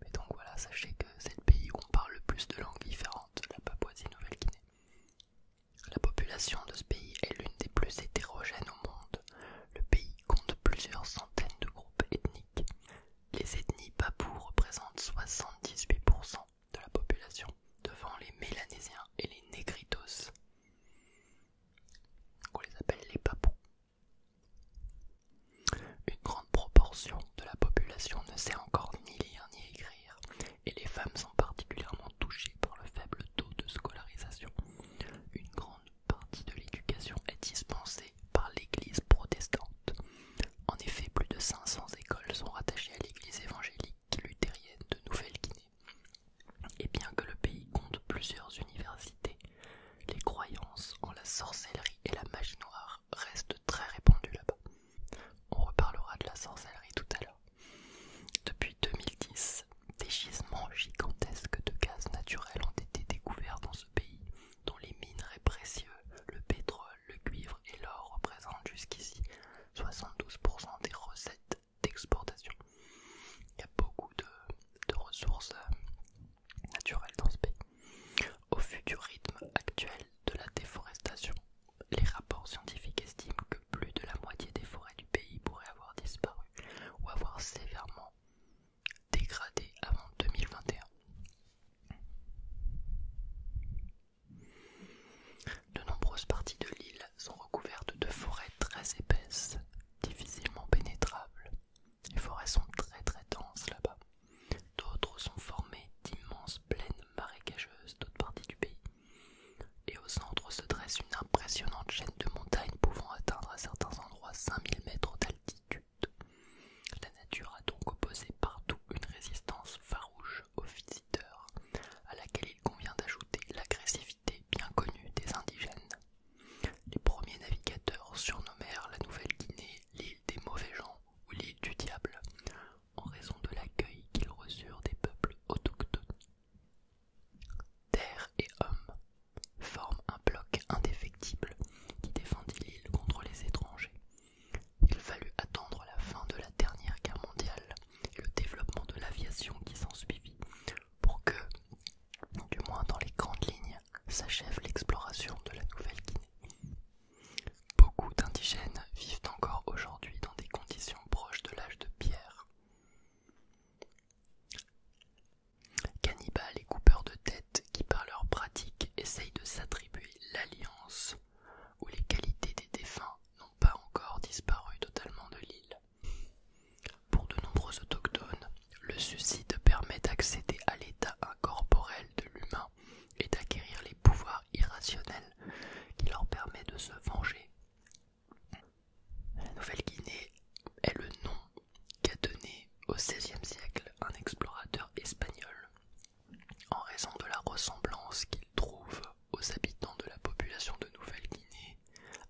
Mais donc voilà, sachez que c'est le pays où on parle le plus de langues différentes, la Papouasie-Nouvelle-Guinée. La population de ce pays est l'une des plus hétérogènes au monde. Le pays compte plusieurs centaines de groupes ethniques. Les ethnies papoues représentent 78% de la population, devant les Mélanésiens et les Négritos. On les appelle les papous. Une grande proportion de la population ne sait encore ni lire ni écrire, et les femmes sont particulièrement touchées par le faible taux de scolarisation partie de l'éducation est dispensée par l'Église protestante. En effet, plus de 500 écoles sont rattachées à l'Église évangélique luthérienne de Nouvelle-Guinée. Et bien que le pays compte plusieurs universités, les croyances en la sorcellerie et la magie noire restent très répandues là-bas. On reparlera de la sorcellerie tout à l'heure. Depuis 2010, des gisements gigantesques de gaz naturel ont été découverts dans ce pays dont les minerais précieux, le pétrole, le cuivre et l'or représentent jusqu'ici 72% des recettes d'exportation. Il y a beaucoup de, ressources euh, naturelles dans ce pays. Au futur rythme actuel de la déforestation, les rapports scientifiques estiment que plus de la moitié des forêts du pays pourraient avoir disparu ou avoir sévèrement dégradé avant 2021. De nombreuses parties de l'île sont recouvertes de forêts très épaisses, difficilement pénétrables. Les forêts sont très très denses là-bas. D'autres sont formées d'immenses plaines marécageuses d'autres parties du pays. Et au centre se dresse une impressionnante chaîne de montagnes pouvant atteindre à certains endroits 5000 mètres d'altitude. La nature a donc opposé partout une résistance farouche aux visiteurs, à laquelle il convient d'ajouter l'agressivité bien connue des indigènes. Les premiers navigateurs surnommèrent la Nouvelle-Guinée l'île des mauvais gens ou l'île du diable, en raison de l'accueil qu'ils reçurent des peuples autochtones. Terre et homme forme un bloc indéfectible qui défendit l'île contre les étrangers. Il fallut attendre la fin de la dernière guerre mondiale et le développement de l'aviation qui s'ensuivit pour que, du moins dans les grandes lignes, s'achève l'exploration de la Nouvelle-Guinée. Beaucoup d'indigènes vivent encore aujourd'hui dans des conditions proches de l'âge de pierre. Cannibales et coupeurs de tête qui par leur pratique essayent de s'attribuer l'alliance où les qualités des défunts n'ont pas encore disparu totalement de l'île. Pour de nombreux autochtones, le suicide permet d'accéder à l'état incorporel de l'humain et d'acquérir les pouvoirs irrationnels qui leur permet de se venger. La Nouvelle-Guinée est le nom qu'a donné au XVIe siècle un explorateur espagnol en raison de la ressemblance qu'il trouve aux habitants de la population de Nouvelle-Guinée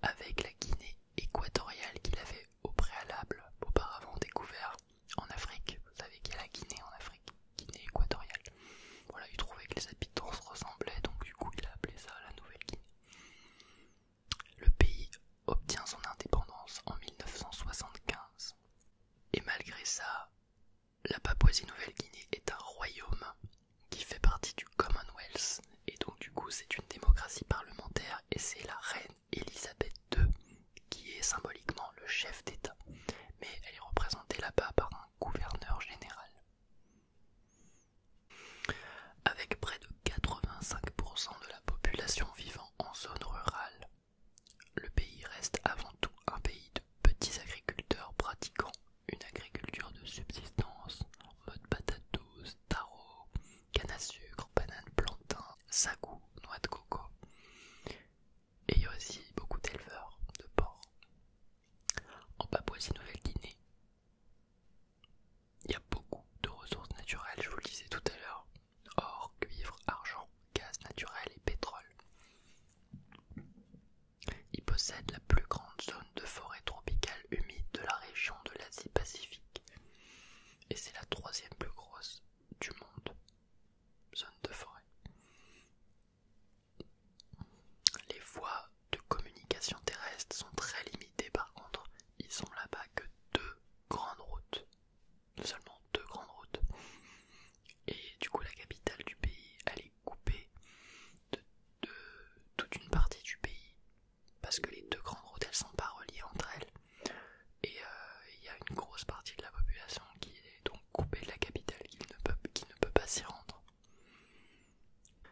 avec la Guinée équatoriale qu'il avait au préalable auparavant découvert en Afrique. Vous savez qu'il y a la Guinée en Afrique, Guinée équatoriale. Voilà, il trouvait que les habitants se ressemblaient, donc du coup il a appelé ça la Nouvelle-Guinée. Le pays obtient son indépendance en 1975. Et malgré ça, la Papouasie-Nouvelle-Guinée est un royaume qui fait partie du Commonwealth et donc du coup c'est une démocratie parlementaire et c'est la reine Elisabeth II qui est symboliquement le chef d'État. Mais elle est représentée là-bas par un gouverneur général. Avec près de 85% de la population vivant en zone rurale, le pays reste avant tout un pays de petits agriculteurs pratiquant une agriculture de subsistance en mode patate douce, taro, canne à sucre, banane, plantain, sagou, noix de coco. Et il y a aussi beaucoup d'éleveurs de porcs. En Papouasie-Nouvelle-Guinée, il y a beaucoup de ressources naturelles, je vous le disais tout à l'heure or, cuivre, argent, gaz naturel et pétrole. Il possède la plus grande zone de forêt tropicale humide de la région de l'Asie-Pacifique et c'est la troisième plus grosse du monde. Zone de forêt. Les voies de communication terrestre sont très limitées par contre, ils sont là-bas que deux grandes routes seulement deux grandes routes. Et du coup, la capitale du pays, elle est coupée de, toute une partie du pays parce que les deux grandes routes, elles sont pas reliées entre elles. Et euh, il y a une grosse partie de la population qui est donc coupée de la capitale, qui ne peut, pas s'y rendre.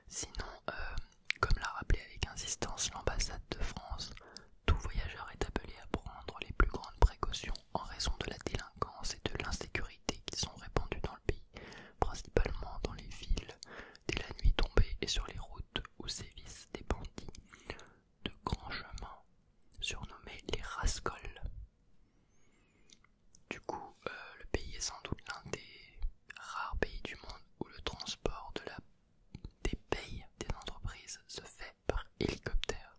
Sinon, euh, comme l'a rappelé avec insistance l'ambassade de France tout voyageur est appelé à prendre les plus grandes précautions en raison de la délinquance et de l'insécurité qui sont répandues dans le pays, principalement dans les villes, dès la nuit tombée et sur les routes où sévissent des bandits de grands chemins, surnommés les rascols. Du coup, euh, le pays est sans doute l'un des rares pays du monde où le transport des pays des entreprises se fait par hélicoptère.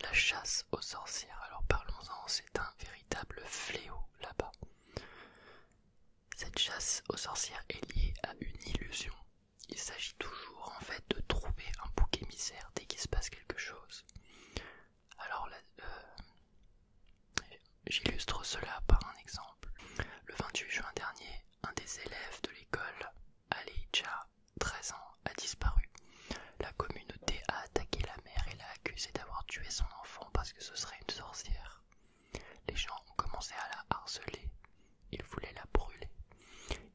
La chasse aux sorcières, alors parlons-en, c'est un véritable fléau là-bas. Cette chasse aux sorcières est liée à une illusion. Il s'agit toujours en fait de trouver un bouc émissaire dès qu'il se passe quelque chose. Alors euh, j'illustre cela par un exemple. Le 28 juin dernier, un des élèves de l'école, Alija, 13 ans, a disparu. La communauté a attaqué la mère et l'a accusée d'avoir tué son enfant parce que ce serait une sorcière. Les gens ont commencé à la harceler. Ils voulaient la brûler.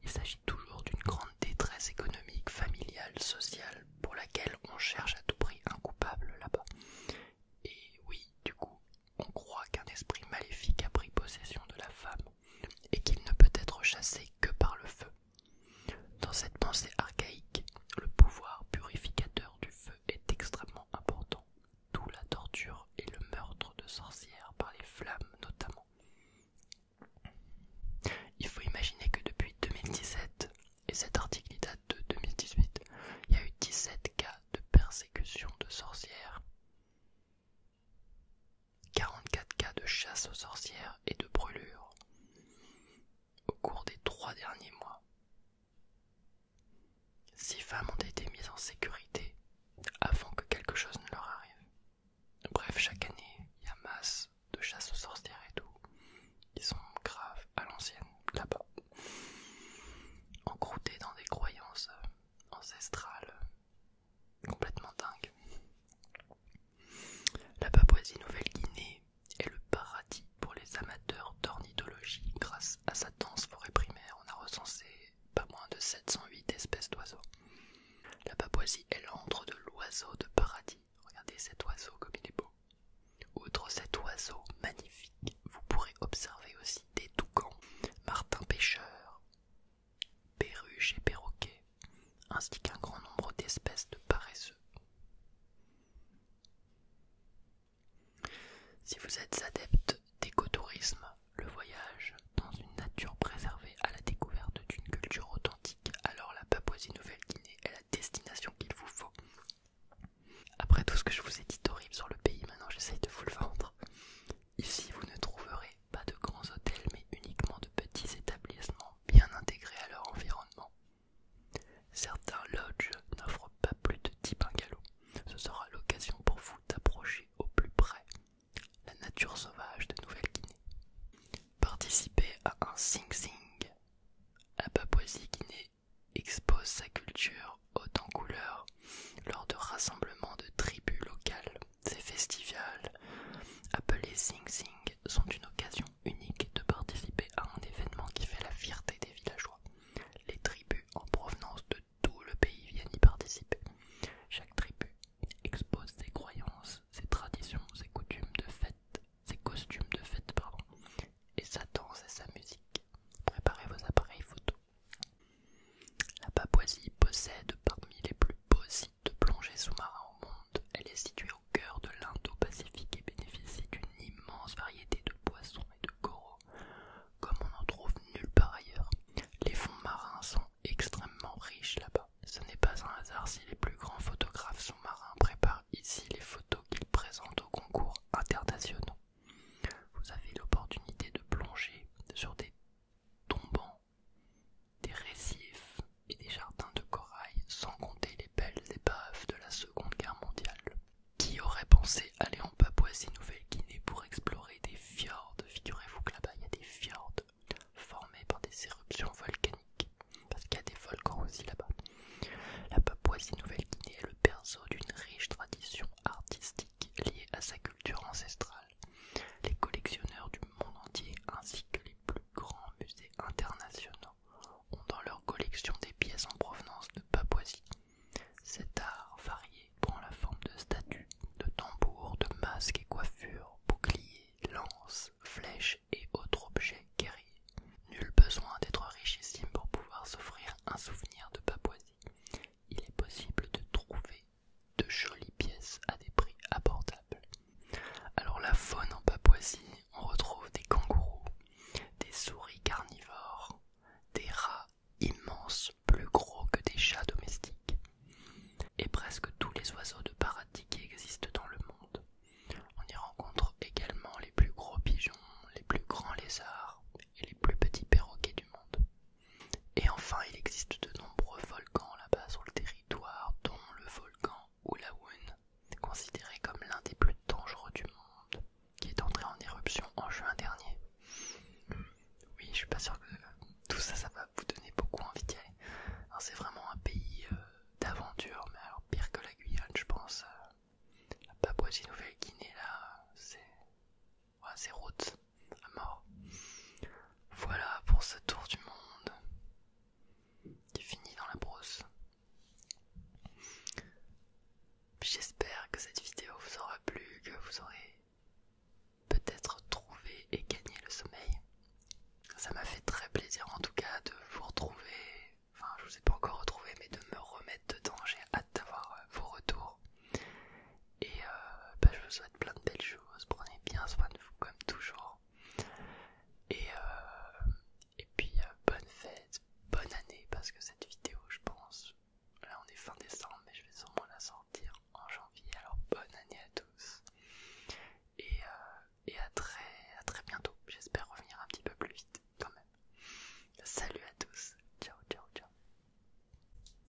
Il s'agit toujours d'une grande détresse économique, familiale, sociale, pour laquelle on cherche à tout prix un coupable là-bas. Et oui, du coup, on croit qu'un esprit maléfique a pris possession de la femme et qu'il ne peut être chassé que par le feu. Dans cette pensée archaïque, le pouvoir purificateur du feu est extrêmement important, d'où la torture et le meurtre de sorcières par les flammes notamment. Il faut imaginer que depuis 2017, et cet article date de 2018, il y a eu 17 cas de persécution de sorcières. 44 cas de chasse aux sorcières et de brûlures au cours des trois derniers mois. Six femmes ont été mises en sécurité avant que quelque chose ne leur arrive. Bref, chaque année, il y a masse de chasse aux sorcières et tout. qui sont graves à l'ancienne, là-bas. Encroutés dans des croyances Ancestral, complètement dingue. La Papouasie-Nouvelle-Guinée est le paradis pour les amateurs d'ornithologie. Grâce à sa dense forêt primaire, on a recensé pas moins de 708 espèces d'oiseaux. La Papouasie est l'antre de l'oiseau de paradis. Regardez cet oiseau comme il est beau. Outre cet oiseau magnifique, vous pourrez observer aussi des toucans, martins pêcheurs, perruches et perroquets, ainsi qu'un grand nombre d'espèces de paresseux. Si vous êtes adepte d'écotourisme, le voyage dans une nature préservée à la découverte d'une culture authentique, alors la Papouasie-Nouvelle-Guinée est la destination qu'il vous faut. Après tout ce que je vous ai dit horrible sur le pays, maintenant j'essaye de vous le vendre. Ici, vous ne trouverez pas de grands hôtels, mais uniquement de petits établissements bien intégrés à leur environnement. Certains lodges n'offrent pas plus de un bungalows. Ce sera l'occasion pour vous d'approcher au plus près la nature sauvage de Nouvelle-Guinée. Participer à un Sing Sing à Papouasie-Guinée expose sa culture Autant couleur, couleurs lors de rassemblements de tribus locales. Ces festivals, appelés Sing Sing, sont une occasion unique de participer à un événement qui fait la fierté des villageois. Les tribus en provenance de tout le pays viennent y participer. Chaque tribu expose ses croyances, ses traditions, ses coutumes de fête, ses costumes de fête, pardon, et sa danse et sa musique. Préparez vos appareils photo la Papouasie possède parmi les plus beaux sites de plongée sous marins au monde. Elle est située au cœur de l'Indo-Pacifique et bénéficie d'une immense variété de poissons et de coraux, comme on n'en trouve nulle part ailleurs. Les fonds marins sont extrêmement riches là-bas. Ce n'est pas un hasard si les plus grands photographes sous-marins préparent ici les photos qu'ils présentent aux concours internationaux. Vous avez l'opportunité de plonger sur des tombant des récifs et des jardins de corail, sans compter les belles épaves de la Seconde Guerre mondiale. Qui aurait pensé aller en Papouasie-Nouvelle-Guinée pour explorer des fjords Figurez-vous que là-bas il y a des fjords formés par des éruptions volcaniques, parce qu'il y a des volcans aussi là-bas. La Papouasie-Nouvelle-Guinée est le berceau d'une riche tradition artistique liée à sa culture ancestrale les collectionneurs du monde entier ainsi que les plus grands musées internationaux ont dans leur collection des pièces en provenance de Papouasie. Cet art varié prend la forme de statues, de tambours, de masques et coiffures, boucliers, lances, flèches et autres objets guerriers. Nul besoin d'être richissime pour pouvoir s'offrir un souvenir de Papouasie. Il est possible de trouver de jolies pièces à des prix abordables. Alors la faune en Papouasie, on retrouve des kangourous, des souris carnivores, des rats immenses, plus gros que des chats domestiques, et presque tous les oiseaux de paradis qui existent dans le monde. On y rencontre également les plus gros pigeons, les plus grands lézards et les plus petits perroquets du monde. Et enfin, il existe de nombreux volcans là-bas sur le territoire, dont le volcan est considéré comme l'un des plus dangereux du monde, qui est entré en éruption en juin dernier. Oui, je suis pas sûr que tout ça, ça va vous donner beaucoup envie d'y aller. C'est vraiment un pays euh, d'aventure, mais pire que la Guyane, je pense. Euh, la Papouasie-Nouvelle-Guinée, là, c'est Ouais, c'est à mort. Voilà pour ce tour du monde qui finit dans la brousse. J'espère que cette vidéo vous aura plu, que vous aurez peut-être trouvé et gagné le sommeil. Ça m'a fait très plaisir en tout cas de vous retrouver. Enfin, je vous ai pas encore retrouvé, mais de me remettre dedans. J'ai hâte d'avoir vos retours. Et euh, bah, je vous souhaite plein de belles choses. Prenez bien soin de vous comme toujours. Et, euh, puis euh, bonne fête, bonne année parce que cette vidéo, je pense, là on est fin décembre, mais je vais sûrement la sortir en janvier. Alors bonne année à tous. Et, à très à très bientôt. J'espère revenir un petit peu plus vite quand même. Salut à tous. Ciao, ciao, ciao.